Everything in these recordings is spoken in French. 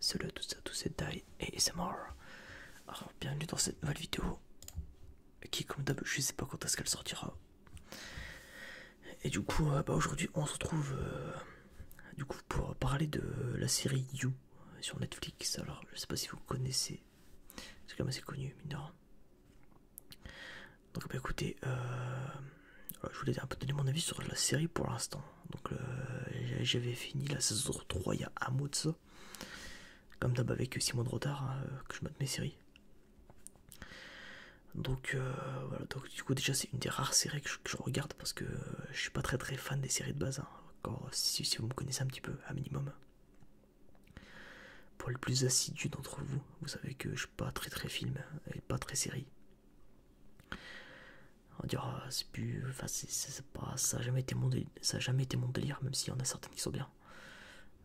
Salut à tous et à c'est Dai et ASMR. Alors, bienvenue dans cette nouvelle vidéo qui, comme d'hab, je sais pas quand est-ce qu'elle sortira. Et du coup, euh, bah, aujourd'hui, on se retrouve euh, du coup, pour parler de la série You sur Netflix. Alors, je sais pas si vous connaissez, Parce que même assez connu, mineur. Donc, bah écoutez, euh, je voulais un peu donner mon avis sur la série pour l'instant. Donc euh, j'avais fini la saison 3 il y a Comme d'hab avec 6 mois de retard hein, euh, que je monte mes séries. Donc euh, voilà, du coup déjà c'est une des rares séries que je, regarde parce que je suis pas très très fan des séries de base. Hein. encore si, vous me connaissez un petit peu, un minimum. Pour les plus assidus d'entre vous, vous savez que je suis pas très très film et pas très série. On dira, ah, c'est plus. Enfin, ça n'a jamais, été mon délire, même s'il y en a certaines qui sont bien.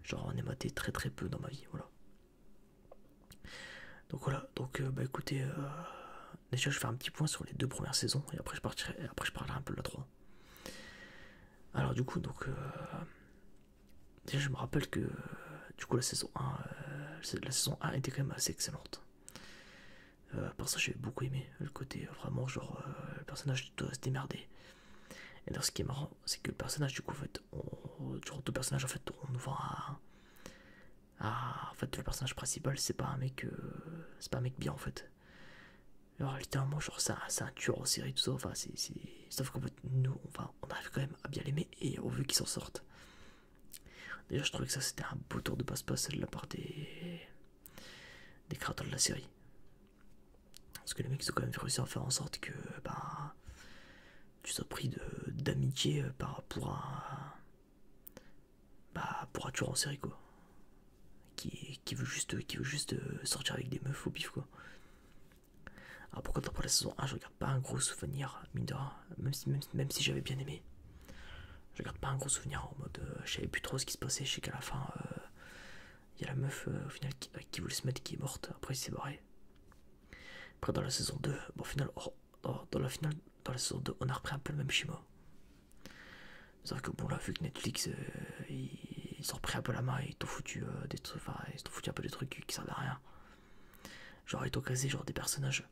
Genre, on est maté très très peu dans ma vie, voilà. Donc voilà, donc euh, bah écoutez, euh, déjà je vais faire un petit point sur les deux premières saisons et après je partirai, après je parlerai un peu de la 3. Alors du coup, donc euh, déjà je me rappelle que du coup la saison 1, la saison 1 était quand même assez excellente. Euh, j'ai beaucoup aimé le côté euh, vraiment genre euh, le personnage doit se démerder. Et dans ce qui est marrant c'est que le personnage du coup en fait on, personnages en fait on nous voit à, en fait le personnage principal c'est pas un mec euh, c'est pas un mec bien en fait. Alors littéralement genre c'est un, tueur en série tout ça enfin c'est sauf qu'en fait nous on, va, on arrive quand même à bien l'aimer et on veut qu'il s'en sorte. Déjà je trouvais que ça c'était un beau tour de passe-passe de la part des des créateurs de la série. Parce que les mecs ils ont quand même réussi à faire en sorte que bah, tu sois pris d'amitié euh, pour un, bah, pour un tueur en série quoi. Qui, veut juste, qui juste euh, sortir avec des meufs au pif quoi. Alors pourquoi dans la saison 1 je regarde pas un gros souvenir, mine même si j'avais bien aimé. Je garde pas un gros souvenir en mode euh, je savais plus trop ce qui se passait, je sais qu'à la fin il euh, y a la meuf euh, au final qui, voulait se mettre qui est morte, après il s'est barré. Après dans la saison 2, bon, final, oh, oh, dans la finale, dans la saison 2, on a repris un peu le même schéma. C'est que bon là vu que Netflix ils, ont repris un peu la main et ils t'ont foutu des trucs, foutu un peu des trucs qui servent à rien. Genre ils t'ont casé genre des personnages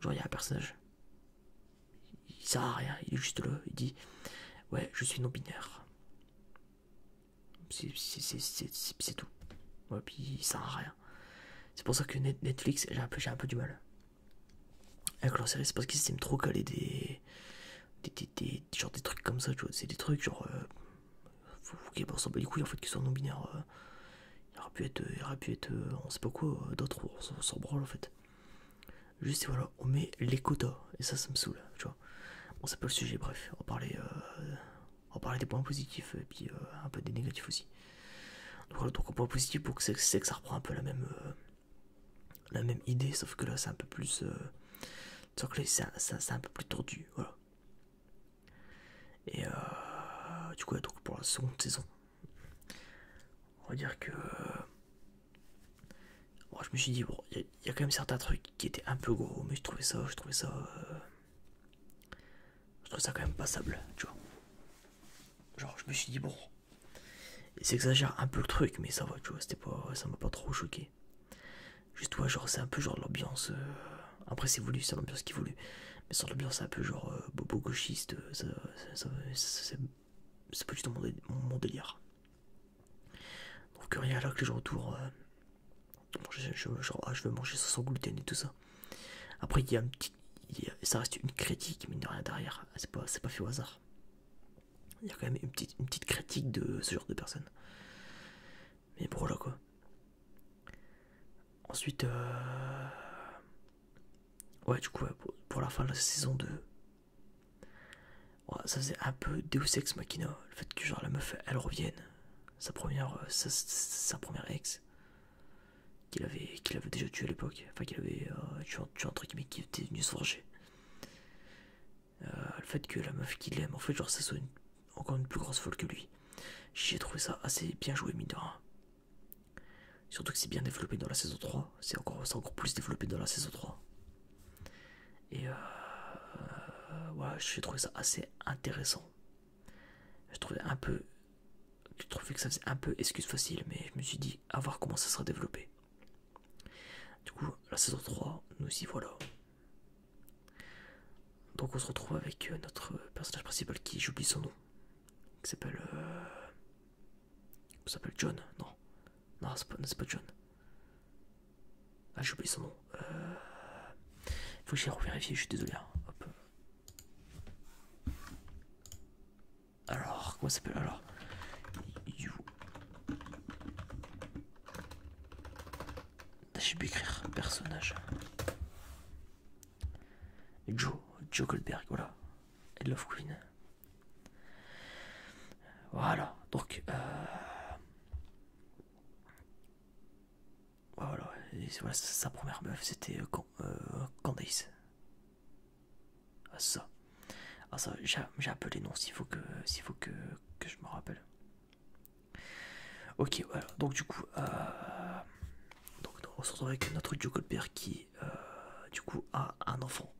Genre, il y a un personnage. Il sert à rien, il est juste là. Il dit Ouais, je suis non-binaire. C'est tout. Ouais, puis il sert à rien. C'est pour ça que Netflix, j'ai un, peu du mal. Avec série, c'est parce qu'ils aiment trop coller des des, genre des trucs comme ça, C'est des trucs genre. faut, qu'il qu'ils s'en bat couilles en fait, qu'ils sont non binaire euh, il aurait pu être, euh, pu être, euh, on sait pas quoi, d'autres, on s'en branle en fait. Juste, voilà, on met les quotas, et ça, ça me saoule, tu vois. Bon, c'est pas le sujet, bref, on parlait, euh, on des points positifs, et puis euh, un peu des négatifs aussi. Donc voilà, donc, point positif pour que c'est que ça reprend un peu la même, euh, la même idée, sauf que là, c'est un peu plus, c'est un, peu plus tordu, voilà. Et du coup, donc pour la seconde saison, on va dire que. Euh, moi, je me suis dit, bon, il y, a quand même certains trucs qui étaient un peu gros, mais je trouvais ça, je trouvais ça. Euh, je ça quand même passable, tu vois. Genre, je me suis dit, bon. il s'exagère un peu le truc, mais ça va, tu vois, c'était pas. Ça m'a pas trop choqué. Juste, toi genre, c'est un peu genre l'ambiance. Euh, après, c'est voulu, c'est l'ambiance qui est voulu. Mais sur l'ambiance un peu genre bobo gauchiste, c'est pas du tout mon, délire. Donc euh, rien là que euh, je retourne. je, ah, je veux manger sans gluten et tout ça. Après, il y a un petit. ça reste une critique, mais il rien derrière. C'est pas, fait au hasard. Il y a quand même une petite, une petite critique de ce genre de personnes. Mais bon, là quoi. Ensuite, euh, Ouais, du coup, pour la fin de la saison 2, ouais, ça faisait un peu Deus Ex Machina. Le fait que, genre, la meuf elle revienne, sa première, euh, sa, première ex, qu'il avait, avait déjà tué à l'époque, enfin, qu'il avait euh, tué, un truc, mais qui était venu se venger. Euh, le fait que la meuf qu'il aime, en fait, genre, ça soit encore une plus grosse folle que lui. J'ai trouvé ça assez bien joué, mine Surtout que c'est bien développé dans la saison 3, c'est encore, encore plus développé dans la saison 3. Et euh, voilà, j'ai trouvé ça assez intéressant. J'ai trouvé un peu. J'ai trouvé que ça faisait un peu excuse facile, mais je me suis dit à voir comment ça sera développé. Du coup, la saison 3, nous y voilà. Donc on se retrouve avec euh, notre personnage principal qui j'oublie son nom, qui s'appelle euh, ça s'appelle John, non. Non, c'est pas, John. Ah, j'ai oublié son nom. Il euh, faut que j'aille revérifie, je suis désolé. Hein. Alors, comment s'appelle alors You. Ah, j'ai pu écrire personnage. Joe, Joe Goldberg, voilà. I love Queen. Voilà, donc euh, voilà, sa première meuf c'était euh, euh, Candace. Ah ça, ah, ça, j'ai appelé non s'il faut que s'il faut que, je me rappelle. Ok, voilà, donc du coup, on se retrouve avec notre Joe père qui du coup a un enfant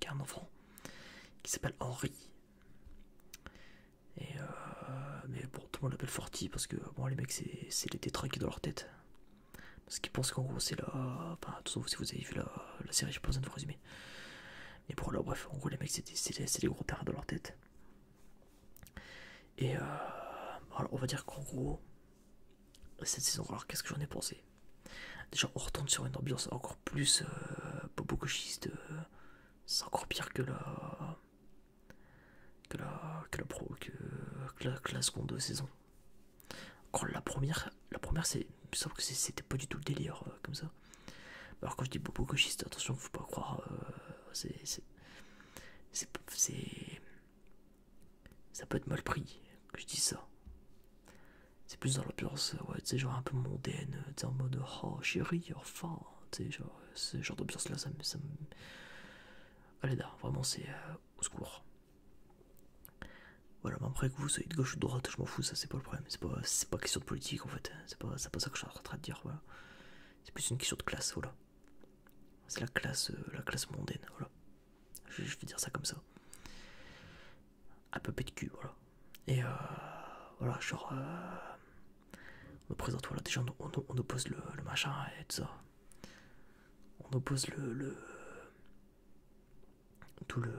qui a un enfant qui s'appelle Henri. Et euh, mais bon, tout le monde l'appelle Forti parce que bon, les mecs, c'est les tétraques dans leur tête. Parce qu'ils pensent qu'en gros, c'est la. Enfin, sauf si vous avez vu la, série, j'ai pas besoin de vous résumer. Mais pour là, bref, en gros, les mecs, c'est les, gros terrains dans leur tête. Et euh, on va dire qu'en gros, cette saison. Alors qu'est-ce que j'en ai pensé Déjà on retourne sur une ambiance encore plus euh, bobo gauchiste. Euh, c'est encore pire que la que la que la pro la, seconde saison. Encore la première, la première c'est sauf que c'était pas du tout le délire euh, comme ça. Alors quand je dis bobo gauchiste, attention, faut pas croire, c'est ça peut être mal pris que je dise ça. C'est plus dans l'ambiance, euh, ouais, tu genre un peu mondaine, euh, tu en mode oh chérie, enfin, tu genre, euh, ce genre d'ambiance là, ça me. Ça Allez là, vraiment, c'est au secours. Voilà, mais après que vous soyez de gauche ou de droite, je m'en fous, ça c'est pas le problème, c'est pas, question de politique en fait, c'est pas, pas ça que je suis en train de dire, voilà. C'est plus une question de classe, voilà. C'est la classe, euh, la classe mondaine, voilà. Je, vais dire ça comme ça. Un peu de cul, voilà. Et euh, voilà, genre, euh, on présente, voilà, déjà on, oppose le, le machin et tout ça. On oppose le, le tout le,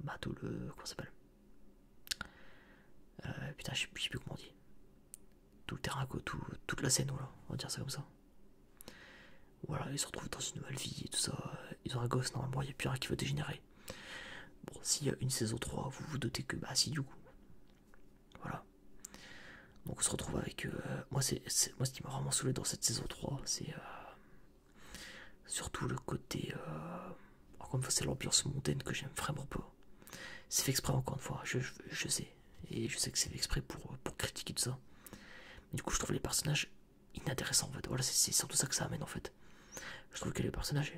bah tout le, comment ça s'appelle euh, Putain, je sais plus comment on dit tout le terrain, tout, toute la scène, là on va dire ça comme ça. Voilà, ils se retrouvent dans une nouvelle vie et tout ça. Ils ont un gosse, normalement, il n'y a plus rien qui veut dégénérer. Bon, s'il y a une saison 3, vous vous doutez que, bah si, du coup. Voilà. Donc on se retrouve avec... Euh, moi, c'est moi, ce qui m'a vraiment saoulé dans cette saison 3, c'est... Euh, surtout le côté... Euh, encore une fois, c'est l'ambiance montaine que j'aime vraiment pas. C'est fait exprès, encore une fois, je sais. Et je sais que c'est exprès euh, pour, critiquer tout ça. Mais du coup, je trouve les personnages inintéressants en fait. Voilà, c'est surtout ça que ça amène en fait. Je trouve que les personnages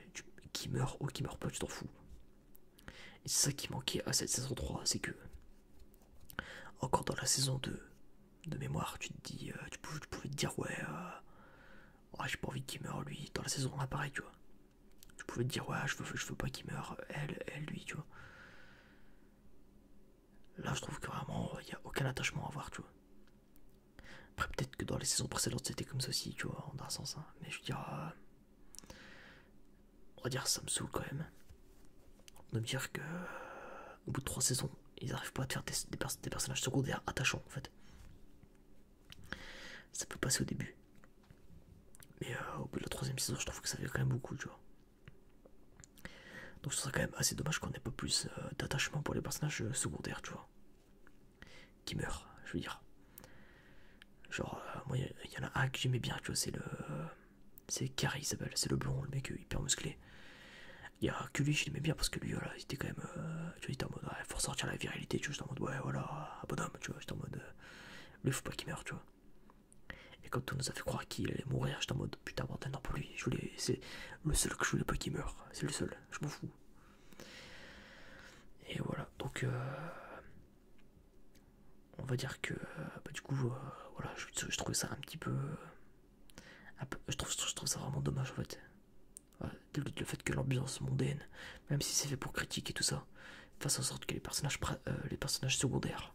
qui meurent ou qui meurent pas, tu t'en fous. Et c'est ça qui manquait à cette saison 3, c'est que encore dans la saison 2 de mémoire, tu te dis, euh, tu, pouvais, te dire euh, ouais, j'ai pas envie qu'il meure lui. Dans la saison 1, pareil, tu vois. Tu pouvais te dire ouais, je veux, je veux pas qu'il meure elle, elle, lui, tu vois. Là, je trouve que vraiment, il euh, n'y a aucun attachement à avoir, tu vois. Après, peut-être que dans les saisons précédentes, c'était comme ça aussi, tu vois, en un sens. Hein. Mais je veux dire, euh, on va dire, ça me saoule quand même. De me dire que, euh, au bout de trois saisons, ils n'arrivent pas à faire des, personnages secondaires attachants, en fait. Ça peut passer au début. Mais au bout de la troisième saison, je trouve que ça fait quand même beaucoup, tu vois. Donc ce serait quand même assez dommage qu'on ait pas plus euh, d'attachement pour les personnages euh, secondaires, tu vois. Qui meurent, je veux dire. Genre, euh, moi, il y en a un que j'aimais bien, tu vois, c'est le... C'est Carrie, Isabelle c'est le blond, le mec hyper musclé. Il y a que je l'aimais bien parce que lui, voilà, il était quand même. tu vois, il était en mode, ouais, faut sortir la virilité, tu vois, j'étais en mode, ouais, voilà, un bonhomme, tu vois, j'étais en mode, lui, faut pas qu'il meure, tu vois. Et quand on nous a fait croire qu'il allait mourir, j'étais en mode putain, bordel, non, pour lui, c'est le seul que je voulais pas qu'il meure, c'est le seul, je m'en fous. Et voilà, donc euh, on va dire que euh, bah, du coup, euh, voilà, je, trouve ça un petit peu. je, trouve, ça vraiment dommage en fait. le fait que l'ambiance mondaine, même si c'est fait pour critiquer tout ça, fasse en sorte que les les personnages secondaires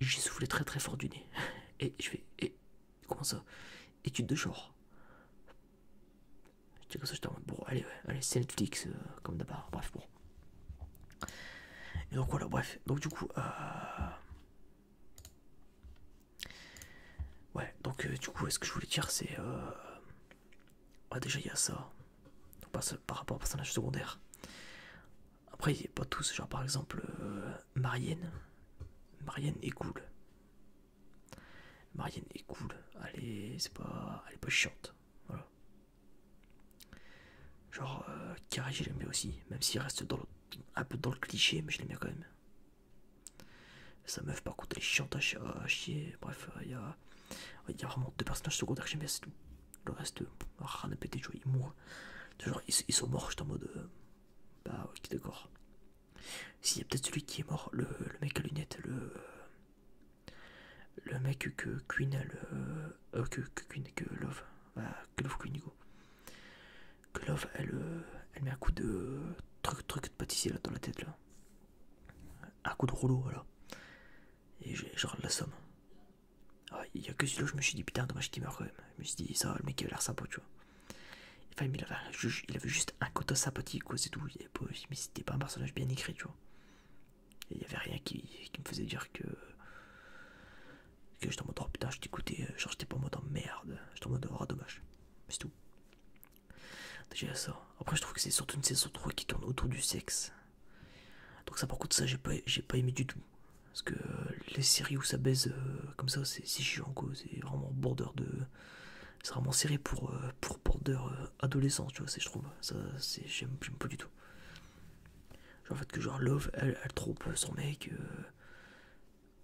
j'ai soufflé très très fort du nez. Et je vais Et, comment ça Étude de genre. Je dis comme ça, je Bon, allez, allez c'est Netflix, euh, comme d'abord. Bref, bon. Et donc voilà, bref. Donc du coup. Euh... Ouais, donc euh, du coup, ce que je voulais dire, c'est. Euh, ah, déjà, il y a ça. par rapport au personnage secondaire. Après, il a pas tous, genre par exemple euh, Marianne. Marianne est cool. Marianne est cool. allez c'est pas, elle est pas chiante. Voilà. Genre, euh, Carrie, je l'aime bien aussi. Même s'il reste dans le, un peu dans le cliché, mais je l'aime bien quand même. Sa meuf, par contre, elle est chiante à, chier. Bref, euh, il y, a, y a vraiment deux personnages secondaires que j'aime bien, c'est tout. Le reste, rien à péter, de joie ils, sont morts, j'étais en mode. Euh, bah, ok, d'accord. S'il y a peut-être celui qui est mort, le, mec à lunettes, le. Le mec que Queen, le. Euh, euh, que, que Queen, que Love. Bah, Love Queen, elle, met un coup de. Truc, truc de pâtissier là dans la tête là. Un coup de rouleau, voilà. Et j'ai genre la somme. Ah, il n'y a que celui-là je me suis dit putain dommage qu'il meurt quand même. Je me suis dit ça le mec il a l'air sympa tu vois. Enfin il avait, juste un côté sympathique quoi c'est tout. mais c'était pas un personnage bien écrit tu vois. Il n'y avait rien qui, me faisait dire que... Que je tombe mode oh, putain je t'écoutais, euh, genre j'étais pas en mode merde, je en mode oh dommage. C'est tout. ça. Après je trouve que c'est surtout une saison 3 qui tourne autour du sexe. Donc ça pour contre ça j'ai pas, j'ai pas aimé du tout. Parce que euh, les séries où ça baise euh, comme ça, c'est chiant, c'est vraiment border de. C'est vraiment serré pour, euh, pour border adolescents, tu vois, je trouve. Ça, c'est j'aime pas du tout. Genre, en fait, que genre Love, elle, elle trompe son mec,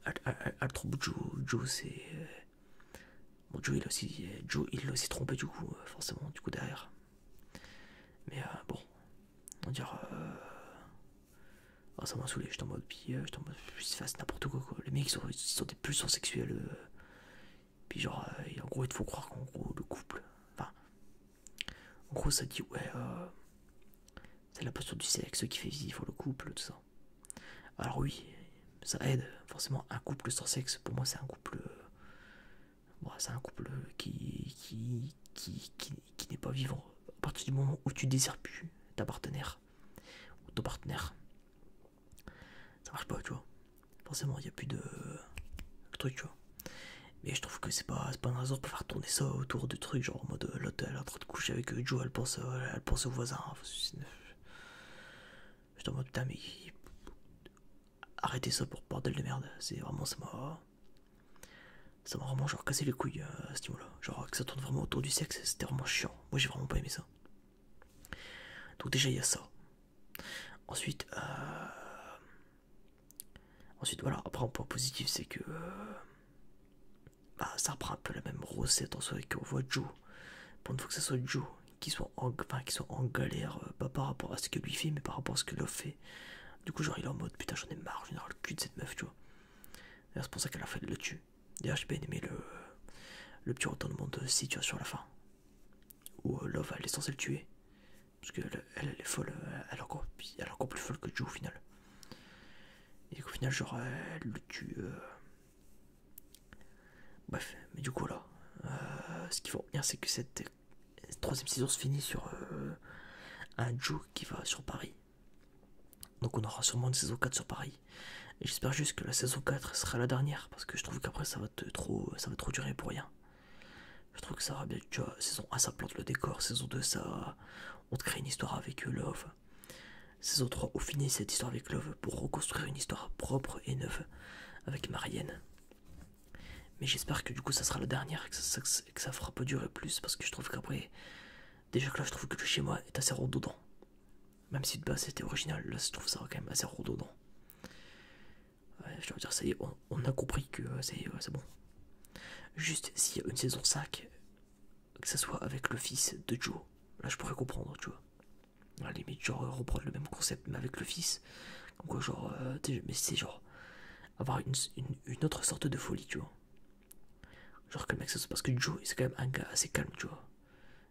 elle, trompe Joe, Joe c'est. bon, Joe il l'a aussi, Joe, il l'a aussi trompé, du coup, forcément, du coup, derrière. Mais bon, on dire euh... Ah, ça m'a saoulé suis en mode puis euh, en mode n'importe quoi, les mecs ils sont, des pulsions sexuels puis genre euh, en gros il faut croire qu'en gros le couple enfin en gros ça dit ouais euh, c'est la posture du sexe qui fait vivre le couple tout ça alors oui ça aide forcément un couple sans sexe pour moi c'est un couple euh, bah, c'est un couple qui qui, qui, qui qui n'est pas vivant à partir du moment où tu désires plus ta partenaire ou ton partenaire. Ça marche pas, tu vois. Forcément, il n'y a plus de trucs, tu vois. Mais je trouve que c'est pas, pas une raison pour faire tourner ça autour de trucs, genre en mode euh, l'hôtel en train de coucher avec euh, Joe, elle pense, euh, elle pense au voisin. J'étais en mode putain, mais arrêtez ça pour bordel de merde. C'est vraiment ça m'a. Ça m'a vraiment genre cassé les couilles euh, à ce niveau-là. Genre que ça tourne vraiment autour du sexe, c'était vraiment chiant. Moi j'ai vraiment pas aimé ça. Donc déjà il y a ça. Ensuite, euh, ensuite voilà, après un point positif c'est que euh, bah, ça reprend un peu la même recette en soi qu'on voit Joe. Pour une fois que ça soit Joe qui soit en, qui soit en galère, pas par rapport à ce que lui fait, mais par rapport à ce que Love fait. Du coup genre il est en mode putain j'en ai marre, j'en le cul de cette meuf tu vois. C'est pour ça qu'elle la fait le tue. D'ailleurs, j'ai bien aimé le, le petit retournement de situation à la fin. Où euh, Love elle est censée le tuer. Parce qu'elle elle, est folle, euh, elle est, encore, plus folle que Joe au final. Et qu'au final, genre, elle le tue. Euh. Bref, mais du coup, là, ce qu'il faut retenir, c'est que cette troisième saison se finit sur un Joe qui va sur Paris donc on aura sûrement une saison 4 sur Paris. Et j'espère juste que la saison 4 sera la dernière parce que je trouve qu'après ça va trop ça durer pour rien. Je trouve que ça va bien, tu vois, saison 1 ça plante le décor, saison 2 ça on te crée une histoire avec euh, Love. Saison 3 on finit cette histoire avec Love pour reconstruire une histoire propre et neuve avec Marianne. Mais j'espère que du coup ça sera la dernière que ça, que ça fera pas durer plus parce que je trouve qu'après Déjà que là, je trouve que le schéma est assez redondant. Même si de base c'était original, là, je trouve ça quand même assez redondant. je veux dire, ça y est, on, a compris que euh, c'est bon. Juste s'il y a une saison 5, que ça soit avec le fils de Joe, là je pourrais comprendre, tu vois. À la limite, genre euh, reprendre le même concept, mais avec le fils. Comme genre, euh, mais c'est genre avoir une, autre sorte de folie, tu vois. Genre que le mec, ça parce que Joe, c'est quand même un gars assez calme, tu vois.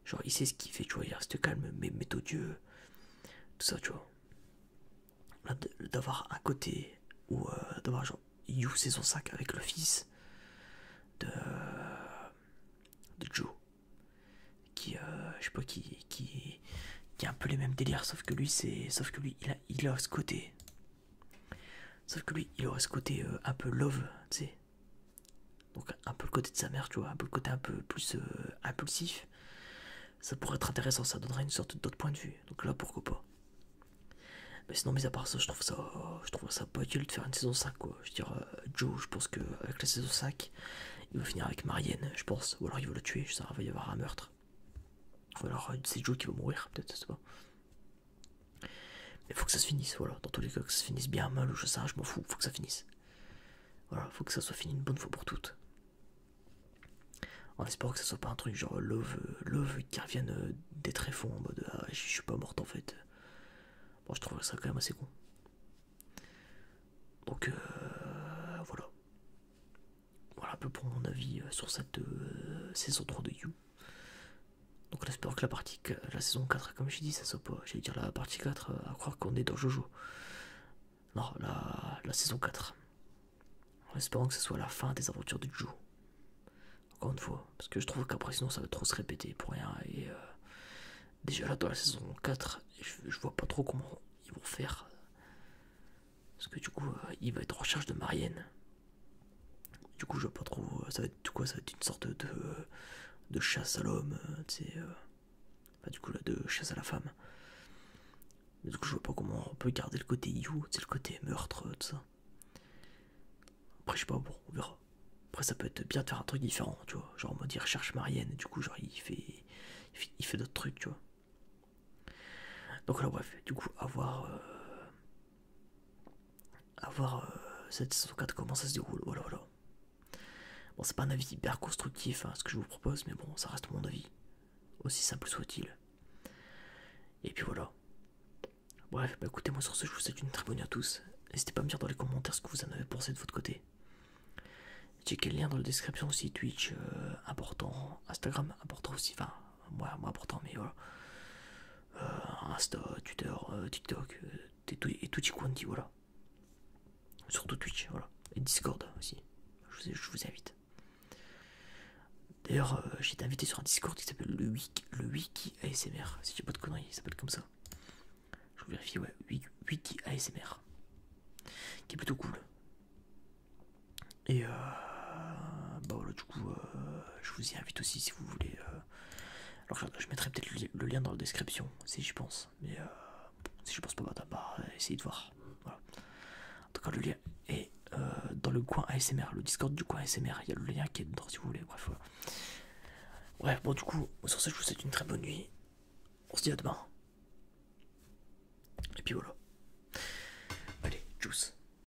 Genre, il sait ce qu'il fait, tu vois, il reste calme, mais odieux, tout ça, tu vois. D'avoir un côté ou euh, d'avoir genre, You saison 5 avec le fils de, de Joe, qui, euh, je sais pas, qui, qui, qui a un peu les mêmes délires, sauf que lui, c'est, sauf que lui, il a, il a ce côté Sauf que lui, il aurait ce côté euh, un peu love, tu sais. Donc un peu le côté de sa mère, tu vois, un peu le côté un peu plus euh, impulsif. Ça pourrait être intéressant, ça donnerait une sorte d'autre point de vue. Donc là, pourquoi pas. Mais sinon, mis à part ça, je trouve ça, je trouve ça pas utile de faire une saison 5, quoi. Je veux dire, euh, Joe, je pense qu'avec la saison 5, il va finir avec Marianne, je pense. Ou alors il va le tuer, je sais, il va y avoir un meurtre. Ou alors c'est Joe qui va mourir, peut-être, je sais pas. Mais faut que ça se finisse, voilà. Dans tous les cas, que ça se finisse bien, mal ou je sais, je m'en fous, faut que ça finisse. Voilà, faut que ça soit fini une bonne fois pour toutes. En espérant que ça soit pas un truc genre love, euh, qui revienne euh, des tréfonds en mode ah, je suis pas morte en fait. Bon, je trouverais ça quand même assez con. Donc euh, voilà. Voilà un peu pour mon avis sur cette saison 3 de You. Donc on espérant que la partie la saison 4, comme j'ai dit, ça soit pas. J'allais dire la partie 4, euh, à croire qu'on est dans Jojo. Non, la, la saison 4. En espérant que ce soit la fin des aventures de Jojo. Encore une fois, parce que je trouve qu'après sinon ça va trop se répéter pour rien. Et euh, déjà là dans la saison 4, je, vois pas trop comment ils vont faire. Parce que du coup, euh, il va être en recherche de Marianne. Du coup, je vois pas trop. Euh, ça va être du quoi Ça va être une sorte de, euh, de chasse à l'homme, euh, tu sais. du coup, là, de chasse à la femme. du coup, je vois pas comment on peut garder le côté you, c'est le côté meurtre, tout ça. Après, je sais pas, bon, on verra. Après, ça peut être bien de faire un truc différent, tu vois. Genre, on mode, il recherche Marianne, du coup, genre, il fait, il fait, d'autres trucs, tu vois. Donc, là, bref, du coup, avoir. Avoir voir euh, cette comment ça se déroule. Voilà, voilà. Bon, c'est pas un avis hyper constructif hein, ce que je vous propose, mais bon, ça reste mon avis. Aussi simple soit-il. Et puis voilà. Bref, bah, écoutez, moi sur ce, je vous souhaite une très bonne nuit à tous. N'hésitez pas à me dire dans les commentaires ce que vous en avez pensé de votre côté. j'ai le liens dans la description aussi, Twitch euh, important, Instagram important aussi, enfin, moi, moi important, mais voilà. Euh, Insta, Twitter, euh, TikTok euh, et, ce qu'on dit voilà. Surtout Twitch, voilà. Et Discord aussi. Je vous, invite. D'ailleurs, j'ai été invité sur un Discord qui s'appelle le Wiki, le Wiki ASMR. Si j'ai pas de conneries, il s'appelle comme ça. Je vais vérifier, ouais. Wiki ASMR. Qui est plutôt cool. Et euh, bah voilà, du coup, euh, je vous y invite aussi si vous voulez. Euh. alors, je, mettrai peut-être le, lien dans la description si j'y pense. Mais si je pense pas, bah, essayez de voir. En tout cas, le lien est dans le coin ASMR, le Discord du coin ASMR. Il y a le lien qui est dedans si vous voulez. Bref, bon, du coup, sur ça, je vous souhaite une très bonne nuit. On se dit à demain. Et puis voilà. Allez, tchuss.